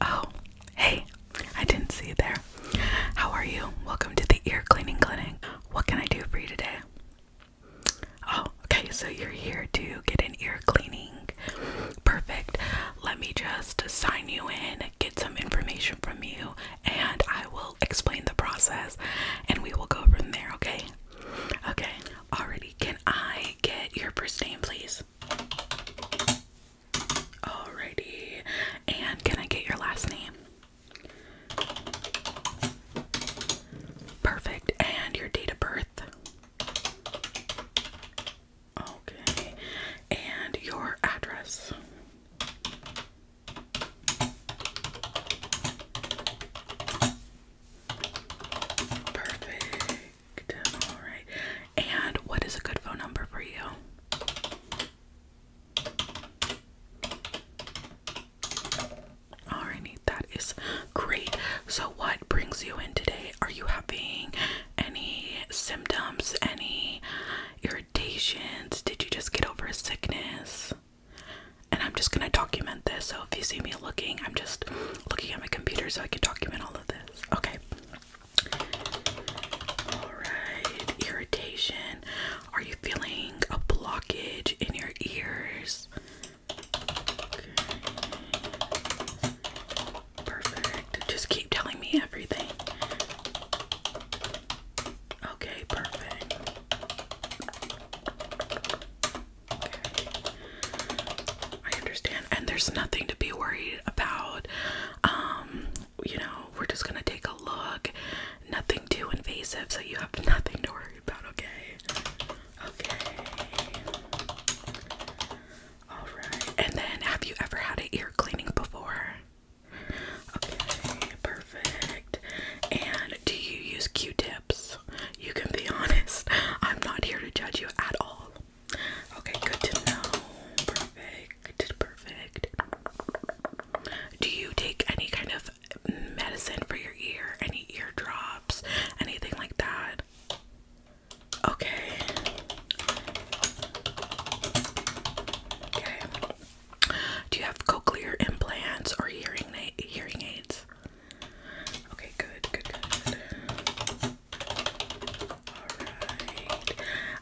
Oh, hey, I didn't see you there. How are you? Welcome to the ear cleaning clinic. What can I do for you today? Oh, okay, so you're here to get an ear cleaning. Perfect. Let me just sign you in, get some information from you, and I will explain the process and we will go from there, okay? Okay. Already, can I get your first name, please? Alrighty. And can I get your last name? Perfect. And your date of birth? Okay. And your address? Perfect. All right. And what is a good phone number for you? Alrighty, that is great. So, what brings you in today? Are you having any symptoms, any irritations? Did you just get over a sickness? and I'm just gonna document this. So if you see me looking, I'm just looking at my computer so I can document all of this. Okay. Alright, irritation. Are you feeling a blockage in your ears? Perfect. Just keep telling me everything. Okay, perfect. Okay. I understand. And there's nothing to be worried about. Um, you know, we're just gonna take a look. Nothing too invasive, so you have nothing to worry about, okay? Okay. Alright. And then have you ever had an ear cleaning before? Okay, perfect. And do you use Q-tips? You can be honest. I'm not here to judge you at all. Okay, good to know. Perfect, perfect. Do you take any kind of medicine for your ear? Any ear drops? Anything like that? Okay. Okay. Do you have cochlear implants or hearing hearing aids? Okay, good, good, good. Alright.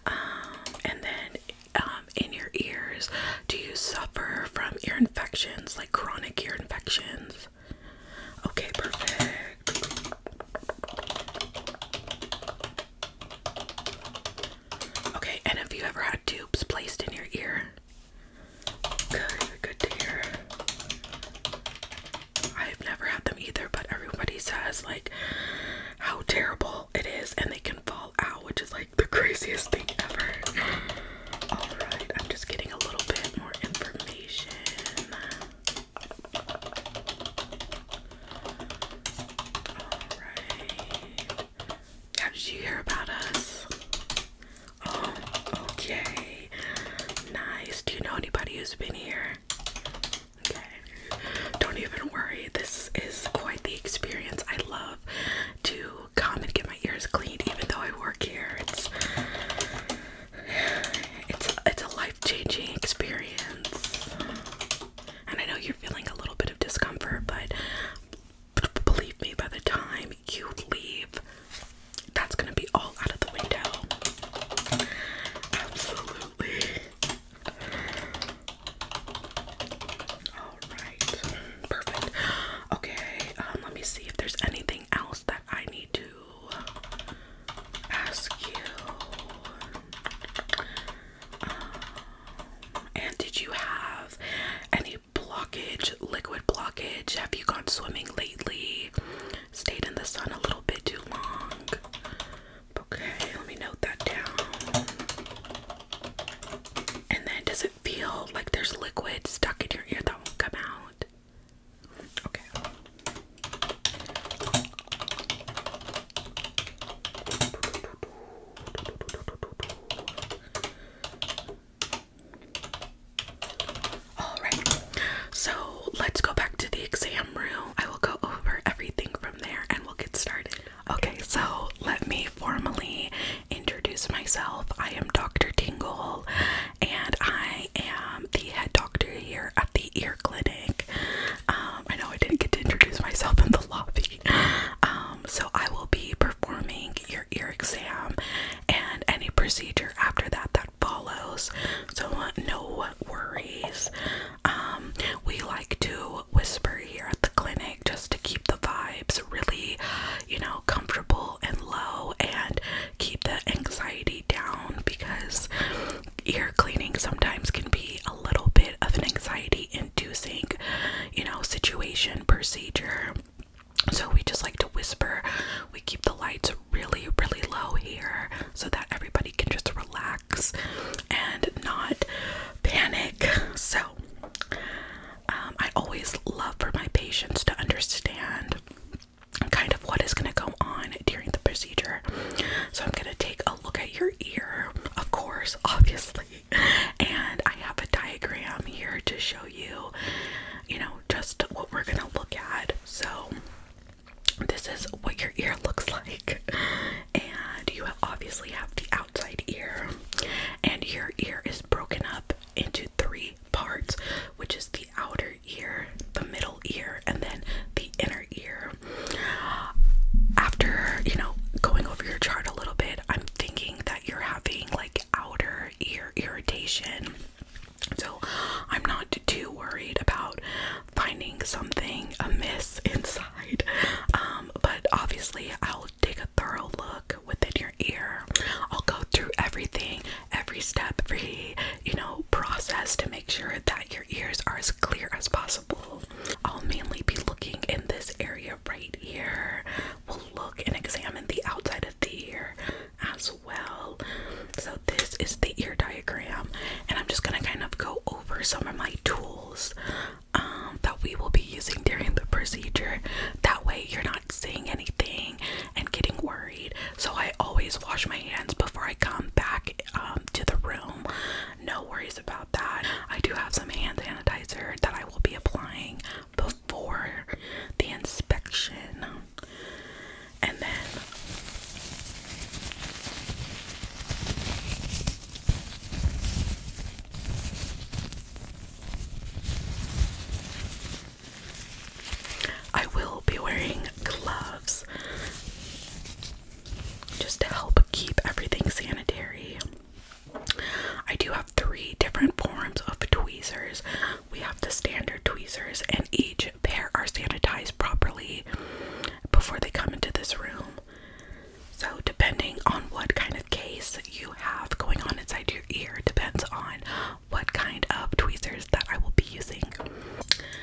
Um, and then um, in your ears, do you suffer from ear infections, like chronic ear infections? Okay, perfect. Okay, and have you ever had tubes placed in your ear. Good, good to hear. I've never had them either, but everybody says like how terrible it is and they can fall out, which is like the craziest thing ever. Alright, I'm just getting a little bit more information. Alright. How did you hear about us? Oh, okay. Nice. Do you know anybody who's been here? Okay. Don't even worry. This is quite the experience. I love to come and get my ears cleaned, even though I work here. It's it's it's a life changing experience. And I know you're feeling a little bit of discomfort, but believe me, by the time you leave, that's gonna be all out of the window. Absolutely. All right, perfect. Okay, um, let me see if there's anything else that I need to ask you and did you have any blockage, liquid blockage? Have you gone swimming lately? Stayed in the sun a little bit too long? Okay, let me note that down. And then does it feel like there's liquid stuck in your ear that won't come out? Okay. All right, so let's go back to the exam room. I will go over everything from there and we'll get started. Okay, so let me formally introduce myself. I am Dr. Tingle and I am the head doctor here at the ear clinic. Um, I know I didn't get to introduce myself in the lobby, um, so I will be performing your ear exam and any procedure after that that follows. So uh, no worries. Um, we like to whisper here at the clinic just to keep the vibes really, you know, comfortable and low and keep the anxiety down because ear cleaning sometimes can be a little bit of an anxiety inducing, you know, situation, procedure. So we just like to whisper. We keep the lights really, really low here so that everybody can just relax and not panic. So um, I always love for my patients to understand kind of what is going to go on during the procedure. So I'm going to take a look at your ear, of course, obviously. And I have a diagram here to show you, you know, just what we're gonna look at. So, this is what your ear looks like. And you obviously have the outside ear, and your ear is broken up into three parts, which is the outer ear, the middle ear, and then the inner ear after you know going over your chart a little bit, I'm thinking that you're having like outer ear irritation. So I'm not too worried about finding something amiss inside. Um, but obviously, I'll take a thorough look within your ear. I'll go through everything, every step, every you know process to make sure that your ears are clear as possible. I'll mainly be looking in this area right here. We'll look and examine the outside of the ear as well. So, this is the ear diagram, and I'm just gonna kind of go over some of my tools um, that we will be using during the procedure. That way, you're not seeing anything and getting worried. So, I always wash my hands before I come back um, to the room. No worries about that. I do have some hand sanitizer that I will be applying before the inspection. And then I will be wearing gloves just to help keep everything sanitary. I do have three different forms of tweezers. We have the standard tweezers, and each pair are sanitized properly before they come into this room. So, depending on what kind of case you have going on inside your ear, depends on what kind of tweezers that I will be using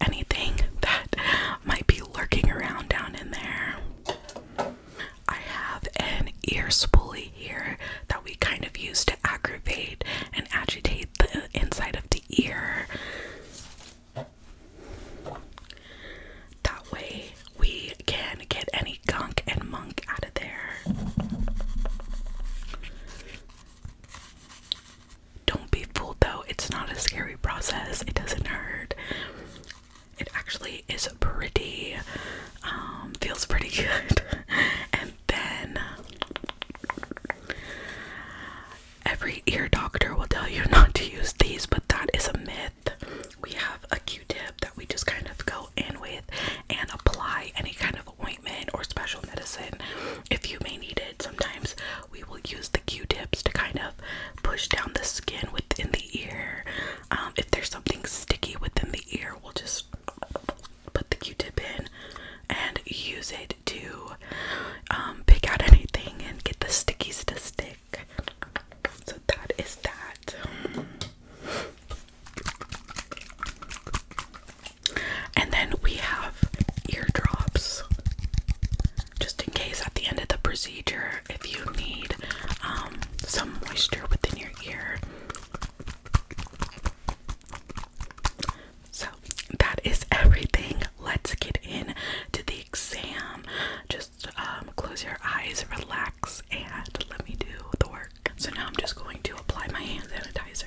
anything that might be lurking around down in there. I have an ear spoolie here that we kind of use to aggravate and agitate the inside of the ear. That way we can get any gunk and monk out of there. Don't be fooled though, it's not a scary process, it doesn't hurt. It actually is pretty, um, feels pretty good. and then every ear doctor will tell you not to use these, but that is a myth. We have a q tip that we just kind of go in with and apply any kind of of or special medicine if you may need it. Sometimes we will use the Q-tips to kind of push down the skin within the ear. Um, if there's something sticky within the ear, we'll just put the Q-tip in and use it to um, pick out anything and get the stickies to stick. So that is that. And then we have eardrops, just in case at the end of the procedure, if you need um, some moisture within your ear. So that is everything. Let's get in to the exam. Just um, close your eyes, relax, and let me do the work. So now I'm just going to apply my hand sanitizer.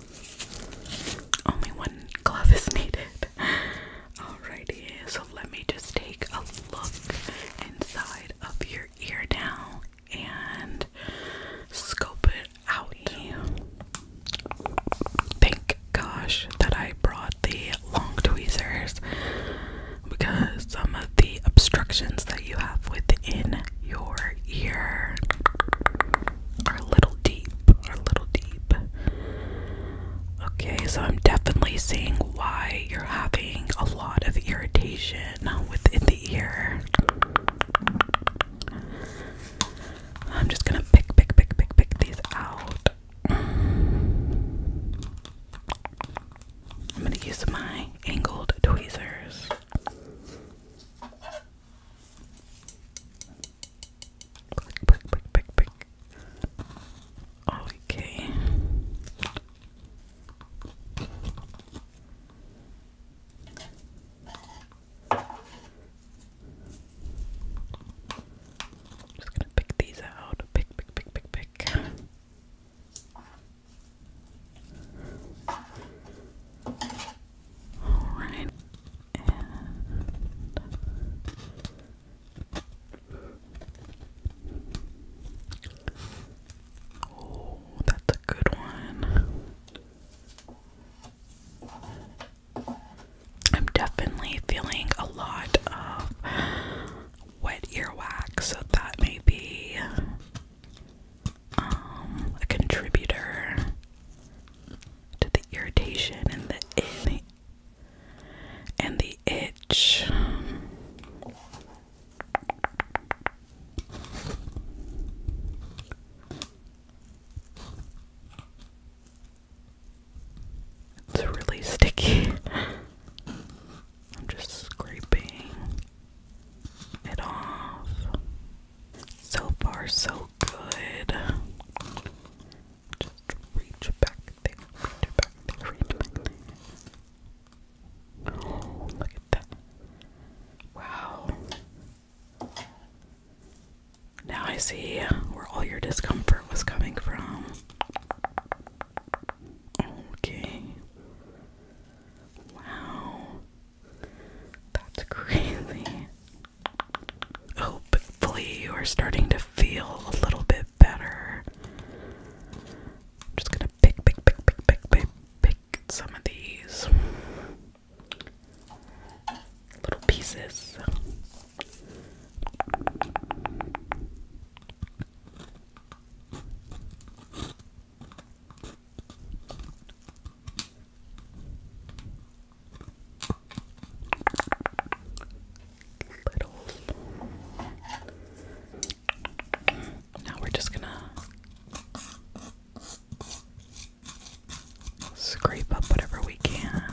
Only one glove is needed. Alrighty, so let me just take a look inside of your ear now and scope it out. Thank gosh that I brought the long tweezers because some of the obstructions that you have within your ear our little deep. Our little deep. Okay, so I'm definitely seeing why you're having a lot of irritation within the ear. I'm just gonna pick, pick, pick, pick, pick these out. I'm gonna use my angled tweezers. Pick, pick, pick, pick. Okay. Just gonna pick these out. Pick, pick, pick, pick, pick. All right oh, that's a good one. I'm definitely feeling a lot of wet earwax, so that may be um, a contributor to the irritation and the and the itch. It's really sticky. I'm just scraping it off. So far, so good. Just reach back there, reach back there, reach back there. Oh, look at that. Wow. Now I see where all your discomfort was coming from. Okay. Wow. That's crazy. Hopefully, you are starting to feel a little bit better. I'm just gonna pick, pick, pick, pick, pick, pick, pick some of these little pieces. Now we're just gonna scrape up whatever we can.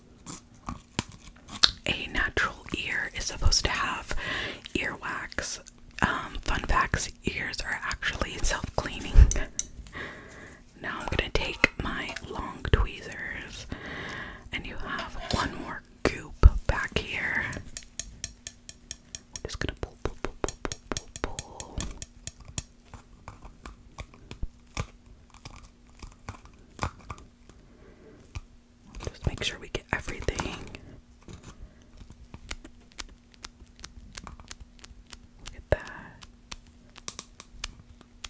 A natural ear is supposed to have earwax. Um, fun facts ears are actually self cleaning. now I'm gonna take my long tweezers, and you have one more goop back here. just gonna pull, pull, pull, pull, pull, pull, pull. Just make sure we get everything. Look at that.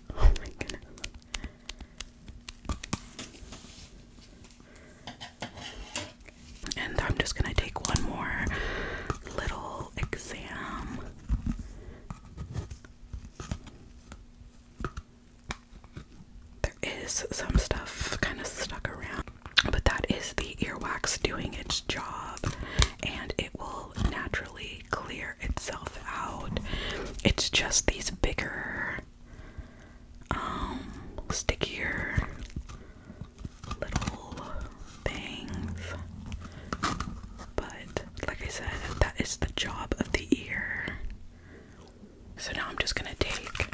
Oh my goodness. And I'm just going to take one more little exam there is some stuff kind of stuck around, but that is the ear wax doing its job and it will naturally clear itself out. It's just these bigger, um, stickier little things. But like I said, that is the job of the ear. So now I'm just going to take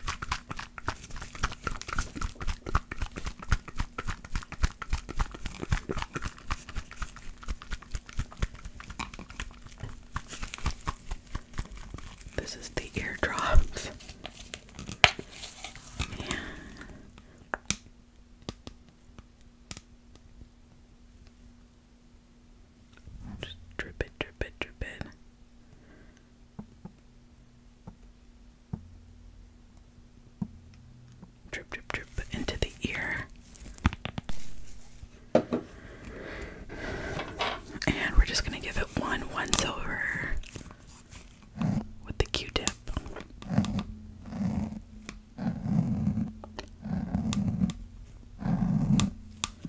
this is the eardrops. Yeah drip it, drip it, drip it. Drip, drip, drip into the ear. And we're just going to give it one once over with the q tip.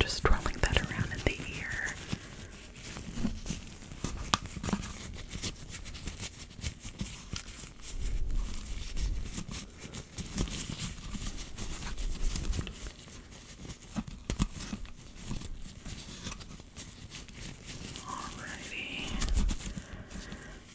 Just twirling that around in the ear. Alrighty.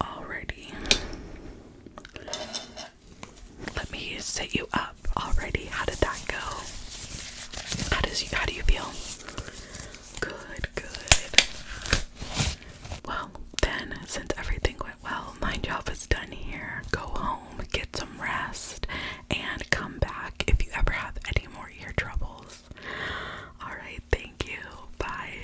Alrighty. Let me set you up. Already, how did that go? How does you how do you feel? Good, good. Well, then since everything went well, my job is done here. Go home, get some rest, and come back if you ever have any more ear troubles. Alright, thank you. Bye.